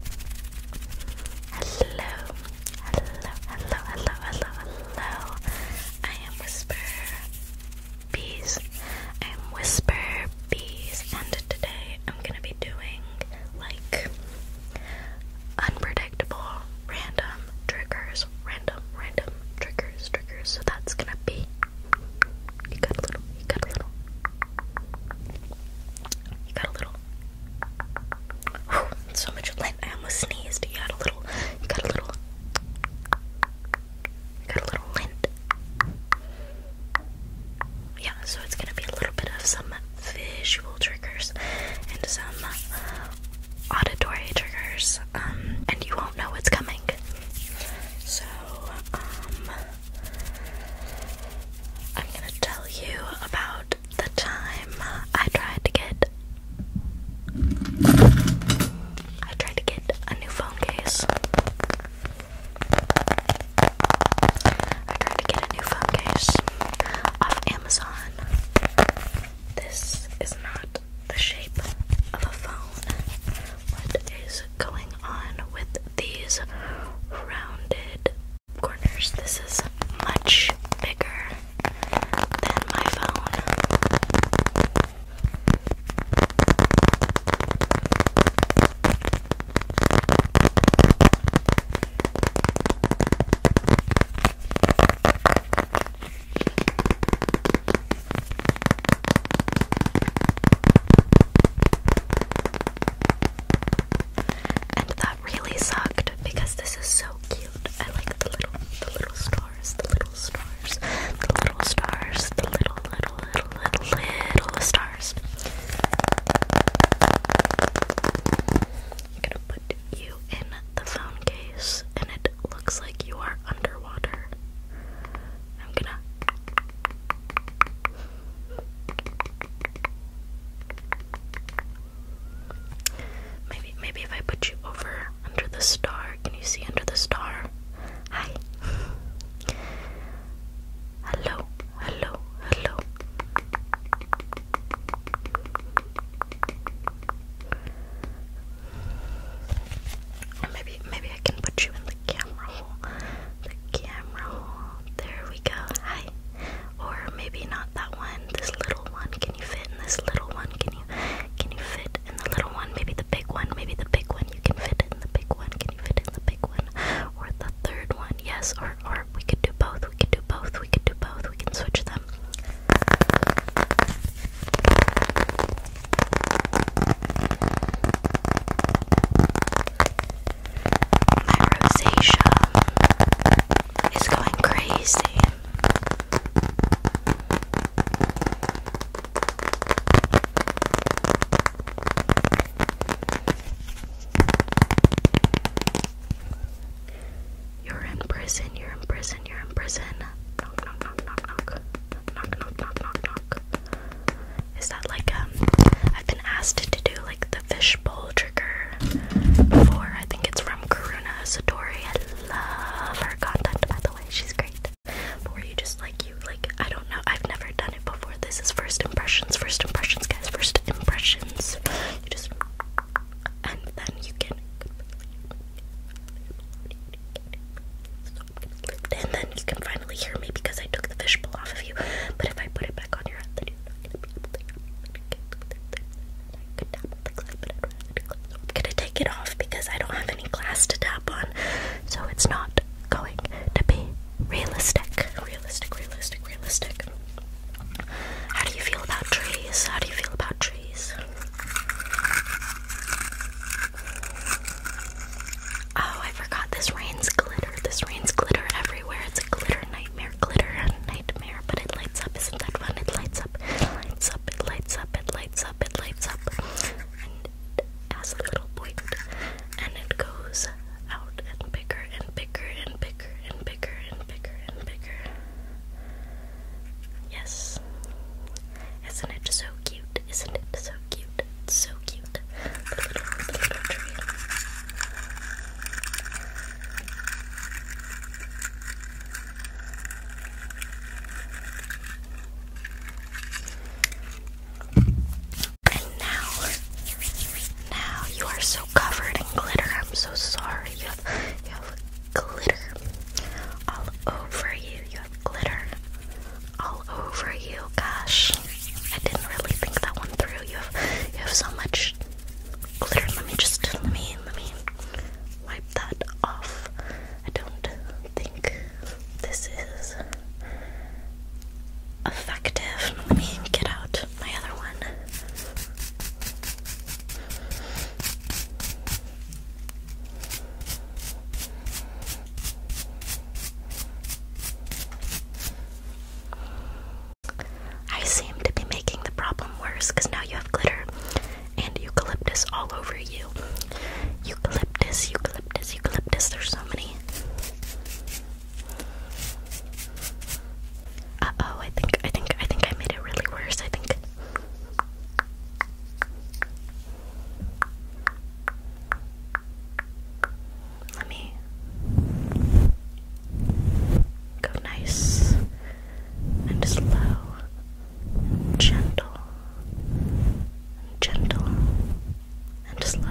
Hello, hello, hello, hello, hello, hello. I am Whisper Bees. I am Whisper Bees, and today I'm gonna be doing like unpredictable, random triggers, random, random triggers, triggers. So that's gonna be. You got a little. You got a little. You got a little so much lint. I almost sneezed. You had a little. You got a little. You got a little lint. Yeah, so it's gonna be a little bit of some visual triggers and some auditory triggers, um, and you won't know what's coming. So, um, I'm gonna tell you about the time I tried to get I tried to get a new phone case. I tried to get a new phone case off Amazon. This is not the shape of a phone. What is going on with these rounded corners. This is much bigger than my phone and that really sucked because this is so cute. I like the little, the little stars, the little stars, the little stars, the little, little, little, little, stars. I'm gonna put you in the phone case, and it looks like you are underwater. I'm gonna. Maybe maybe if I put you over under the star, can you see under the star? Hi. Hello, hello, hello. maybe maybe I can put you in the the camera hole, the camera hole. There we go. Hi. Or maybe not that one. This little one. Can you fit in this little one? Can you can you fit in the little one? Maybe the big one. Maybe the big one. You can fit in the big one. Can you fit in the big one? Or the third one? Yes. Or or we could do both. We could do both. We could do both. We can switch them. My rosacea is going crazy. You're in prison, you're in prison, you're in prison. Knock, knock, knock, knock, knock. Knock, knock, knock, knock, is that like um? I've been asked to do like the fishbowl trigger before. I think it's from Karuna Satori. I love her content by the way. She's great. But you just like you like I don't know. I've never done it before. This is first impressions. First impressions, guys. First impressions. You just and then you can and then you can finally hear me because I took the fishbowl off of you. But if I put it back on your head, then you're not gonna be able to hear me. I'm gonna take it off because I don't have any glass to tap on, so it's not going to be realistic. Realistic, realistic, realistic. How do you feel about trees? How do you feel about trees? Oh, I forgot this rain's glitter. This rain's glitter everywhere. It's a glitter nightmare, glitter nightmare, but it lights up. Isn't that fun? It lights up, it lights up, it lights up, it lights up, it lights up. And it has a little point. And it goes out and bigger and bigger and bigger and bigger and bigger and bigger. Yes. Isn't it so cute, isn't it? So cute, it's so cute. And now, now you are so covered in glitter. I'm so sorry. you have glitter all over you. You have glitter all over you. Gosh, I didn't really think that one through. You have you have so much glitter. Let me just let me let me wipe that off. I don't think this is effective. Let me get out my other one. I seem to be making the problem worse because now you have glitter and eucalyptus all over you. Eucalyptus, eucalyptus, eucalyptus. There's so many. Uh oh, I think, I think, I think I made it really worse. I think. Let me go nice and slow gentle gentle and slow.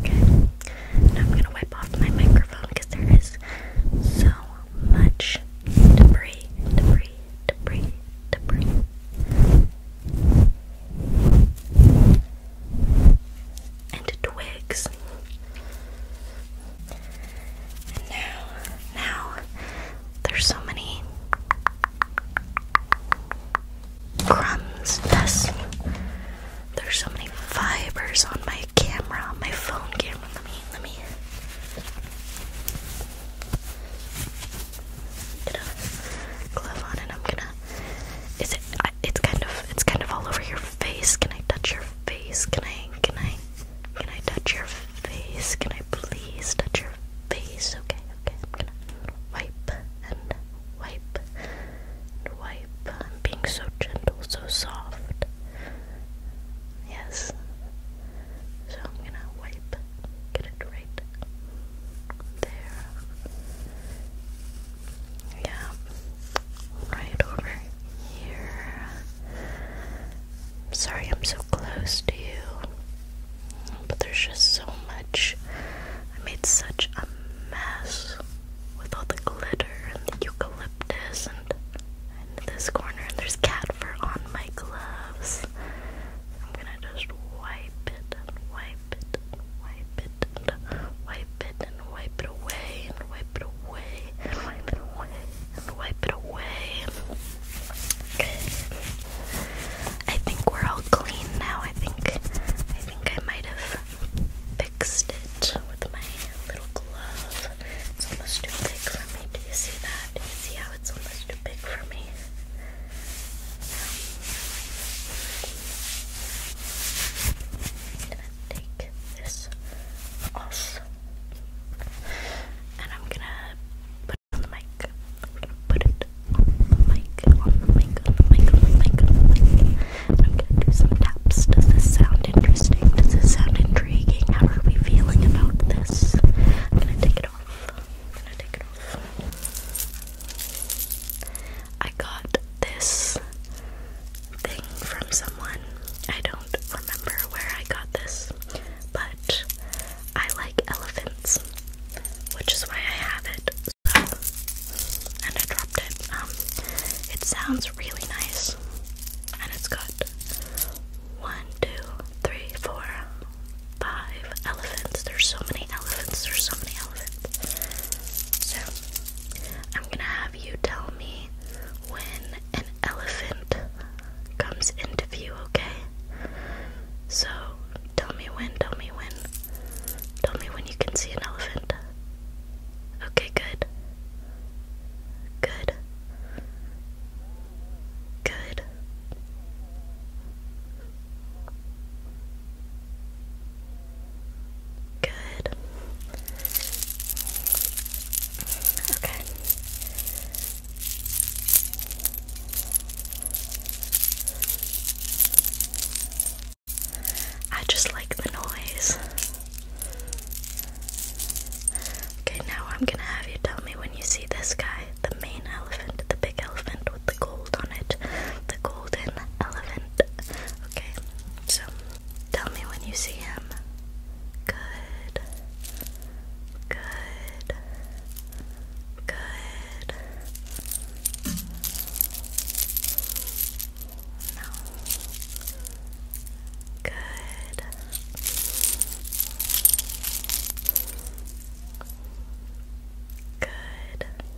Okay, I'm gonna wipe off my microphone because there is so much debris, debris, debris, debris. And twigs now, now, there's so many crumbs. Yes, there's so many fibers on my camera, on my phone camera. Let me, let me. Get a glove on, and I'm gonna. Is it? It's kind of. It's kind of all over your face. Can I touch your face? Can I? Can I? Can I touch your face? Can I please touch your face? Okay, okay. I'm gonna wipe and wipe and wipe. I'm being so gentle, so soft. Yes. So I'm gonna wipe. Get it right there. Yeah. Right over here. I'm sorry I'm so close to you, but there's just so much. I made such a mess with all the glitter and the eucalyptus and, this corner, and there's cat fur on my gloves. I'm gonna just wipe it wipe it wipe it wipe it wipe it away wipe it away wipe it away wipe it away. I think we're all clean now. I think I think I might have fixed it with my little glove. It's almost too big for me. Do you see that? see how it's almost too big for me? i this off. And I'm gonna put it on the mic. Put it mic, on the mic, on the mic, on the mic, I'm gonna do some taps. Does this sound interesting? Does this sound intriguing? How are we feeling about this? I'm gonna take it off. I'm gonna take it off. I got this thing from someone. I don't remember where I got this, but I like elephants, which is why I have it. and I dropped it. Um, it sounds really nice, and it's good. one, two, three, four, five elephants. There's so many elephants. There's so many elephants. So I'm gonna have you tell me when an elephant comes into view, okay? So, tell me when, tell me when. Tell me when you can see an elephant. Okay, good. Good. Good. Good. Okay. I just like the noise. Okay, now I'm gonna have you tell me when you see this guy, the main elephant, the big elephant with the gold on it, the golden elephant. Okay, so Tell me when you see him. Good. Good. Good. No. Good. Good.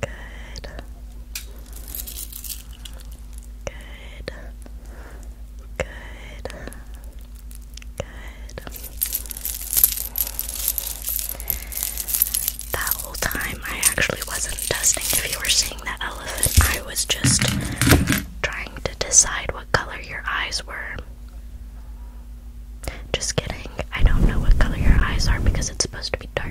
Good. Good. Good. Good. That whole time I actually wasn't dusting. if you were seeing that elephant. I was just trying to decide what color your eyes were. Just kidding. I don't know what color your eyes are because it's supposed to be dark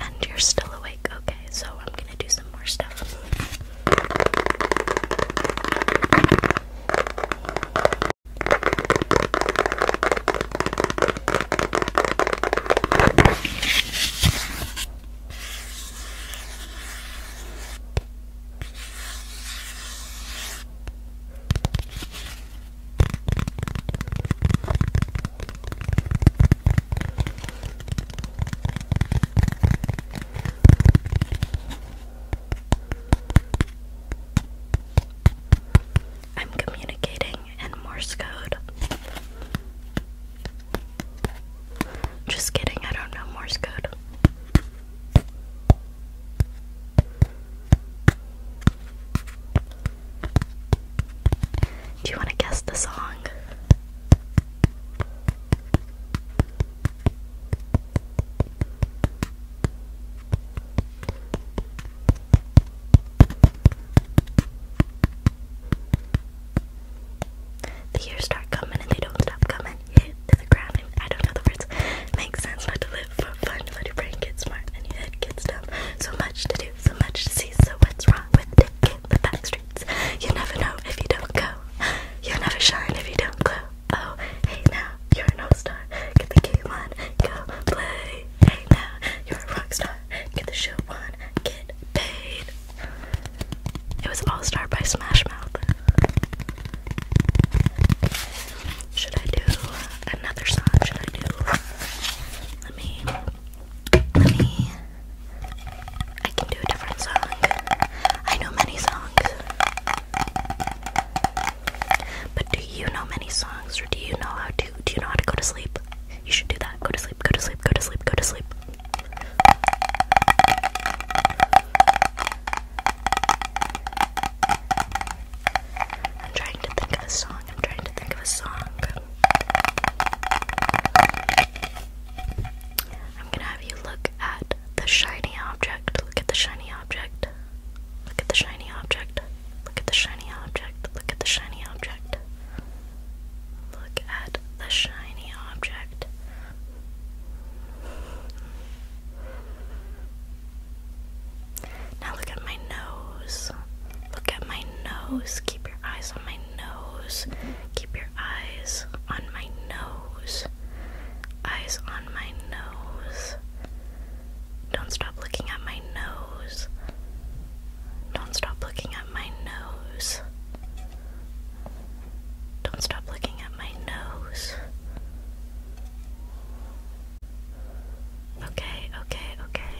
And you're still awake. Okay, so I'm gonna do some more stuff. I'm communicating in Morse code. Just kidding, I don't know Morse code. Do you want to guess the song? The years start coming and they don't stop coming. Hit to the ground and I don't know the words. Makes sense not to live for fun, but your brain gets smart and your head gets dumb. So much to do, so much to see, so what's wrong with taking the back streets? You never know if you don't go. you never shine if you don't glow. Oh, hey now, you're an all-star. Get the key, on, go play. Hey now, you're a rock star. Get the show on, get paid. It was all started by Smash Mouth. Should I do another song? Should I do? Let me let me. I can do a different song. I know many songs. But do you know many songs or do you know how to do you know how to go to sleep? You should do that. Go to sleep, go to sleep, go to sleep, go to sleep. I'm trying to think of a song. I'm trying to think of a song. I'm gonna have you look at the shiny object. Look at the shiny object. Look at the shiny object. Look at the shiny object. Look at the shiny object. Look at the shiny object. Now look at my nose. Look at my nose. Keep your eyes on my nose. Keep your eyes on my nose. Eyes on my nose. Don't stop looking at my nose. Don't stop looking at my nose. Don't stop looking at my nose. Okay, okay, okay.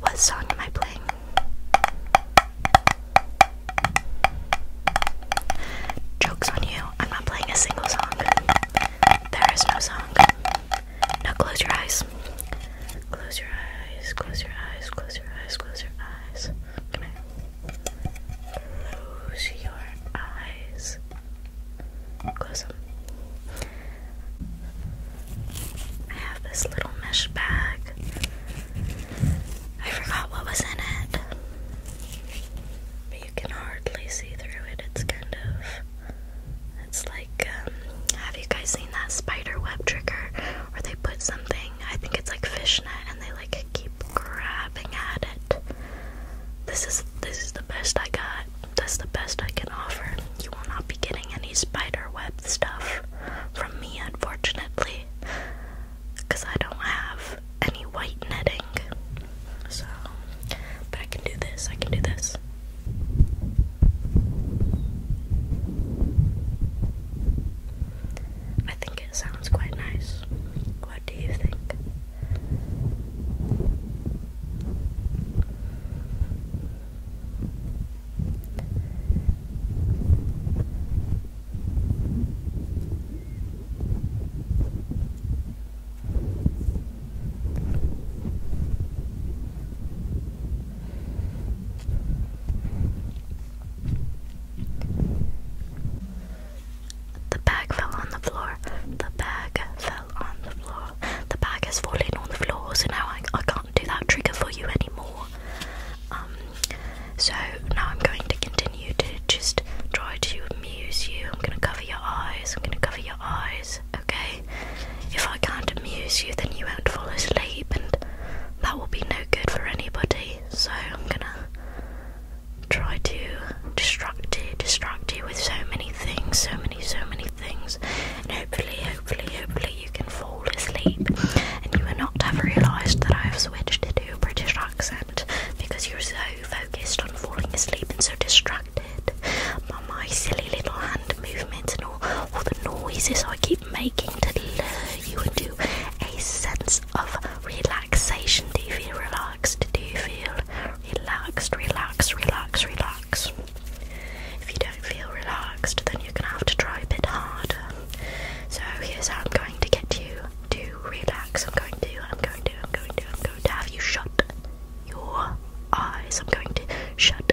What song am I playing? Joke's on you, I'm not playing a single song. There is no song. Now close your eyes. Close your eyes, close your eyes, close your eyes, close your eyes. Can I close your eyes? Close them. I have this little mesh bag. I forgot what was in it. But you can hardly see through it. It's kind of. It's like uh, have you guys seen that spider web trigger where they put something, I think it's like fishnet, and they like keep grabbing at it? This is this is the best I got. That's the best I can offer. You will not be getting any spider web stuff from me, unfortunately, because I don't have any white netting. So, but I can do this. I can do this. I think it sounds quite nice. What do you think? The bag fell on the floor. The bag fell on the floor. The bag has fallen on the floor, so now I, I can't do that trigger for you anymore. Um, so now I'm going to continue to just try to amuse you. I'm going to cover your eyes. I'm going to cover your eyes. Okay? If I can't amuse you, then you won't fall asleep, and that will be no good for anybody. So I'm gonna try to distract you, distract you with so many things, so many, so many things, and hopefully, hopefully, hopefully, you can fall asleep, and you will not have realised that I have switched to a British accent because you're so focused on falling asleep and so distracted by my silly little hand movements and all, all the noises I keep making to lure you into a sense of relaxation. Do you feel relaxed? Do you feel relaxed? Relax, relax, relax. relax. If you don't feel relaxed, then you're gonna have to try a bit harder. So here's how I'm going to get you to relax. I'm going to, I'm going to, I'm going to, I'm going to have you shut your eyes. I'm going to shut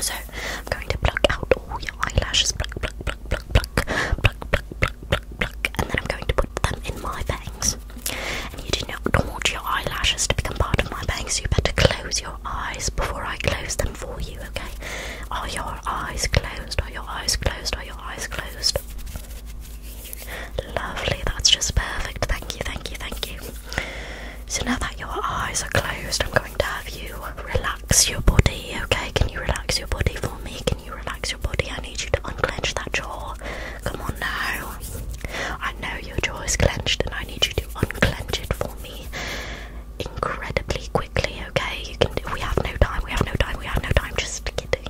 So I'm going to pluck out all your eyelashes, pluck, pluck, pluck, pluck, pluck, pluck, pluck, pluck, pluck, pluck, and then I'm going to put them in my bangs. And you do not want your eyelashes to become part of my bangs, so you better close your eyes before I close them for you, okay? Are your eyes closed? Are your eyes closed? Are your eyes closed? Lovely, that's just perfect. Thank you, thank you, thank you. So now that your eyes are closed, I'm going to have you relax your body, okay? Can you relax your body for me? Can you relax your body? I need you to unclench that jaw. Come on now. I know your jaw is clenched and I need you to unclench it for me incredibly quickly, okay? You can do we have no time, we have no time, we have no time, just kidding.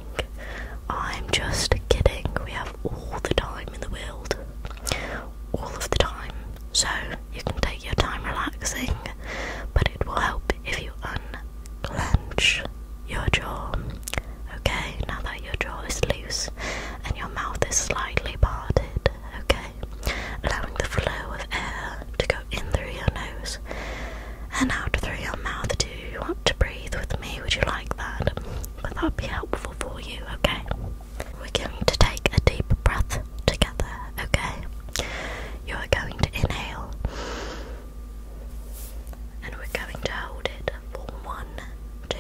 I'm just kidding. We have all the time in the world all of the time, so you can take your time relaxing, but it will help if you unclench your jaw. Okay, now that your jaw is loose and your mouth is slightly parted, okay, allowing the flow of air to go in through your nose and out through your mouth. Do you want to breathe with me? Would you like that? Would that be helpful for you? Okay. We're going to take a deep breath together, okay? You are going to inhale and we're going to hold it for one, two,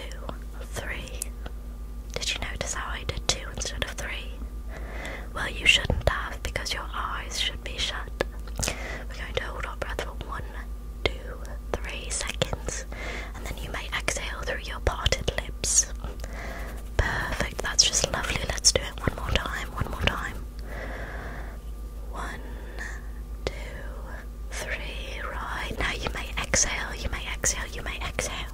three. Did you notice how I did two instead of three? Well, you shouldn't have because your eyes should be shut. We're going to hold our breath for one, two, three seconds breath, and then you may exhale through your parted lips. Perfect, that's just lovely. Let's do it one more time, one more time. One, two, three, right. Now you may exhale, you may exhale, you may exhale.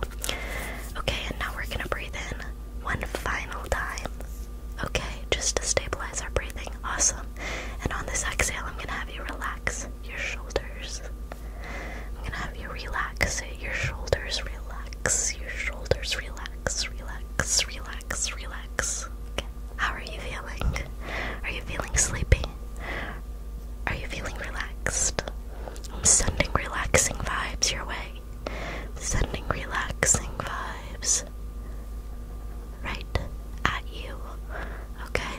Okay, and now we're gonna breathe in one final time. Okay, just to stabilize our breathing. Awesome. And on this exhale, I'm gonna have you relax your shoulders. I'm gonna have you relax your shoulders, relax your shoulders, relax, relax, relax, relax. How are you feeling? Are you feeling sleepy? Are you feeling relaxed? I'm sending relaxing vibes your way. sending relaxing vibes right at you. Okay?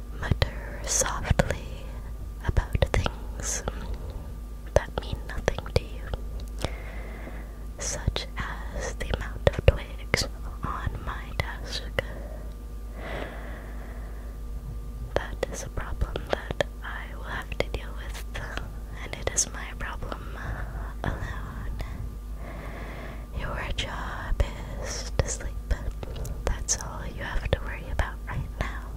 mutter softly about things that mean nothing to you, such as the amount of twigs on my desk. That is a problem that I will have to deal with, and it is my problem alone. Your job is to sleep. That's all you have to worry about right now.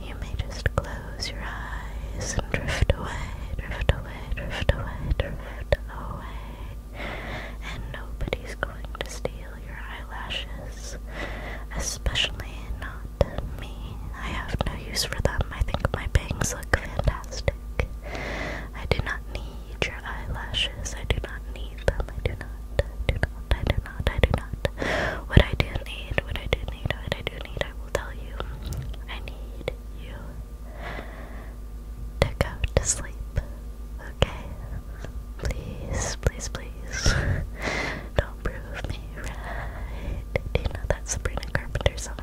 You may just close your eyes and drift away, drift away, drift away, drift away. And nobody's going to steal your eyelashes, especially not me. I have no use for them. I think my bangs look fantastic. I do not need your eyelashes. I do not need them. I do not, do not, I do not. What I do need, what I do need, what I do need, I will tell you. I need you to go to sleep, okay? Please, please, please. Don't prove me right. Do you know that Sabrina Carpenter song?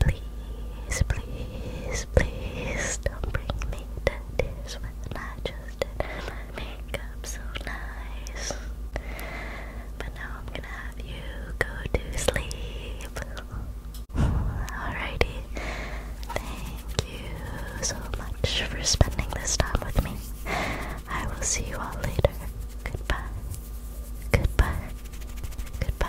Please, please, please don't bring me to tears when I makeup so nice. But now I'm gonna have you go to sleep. Alrighty. Thank you so much for spending this time with me. I will see you all later. Goodbye. Goodbye. Goodbye.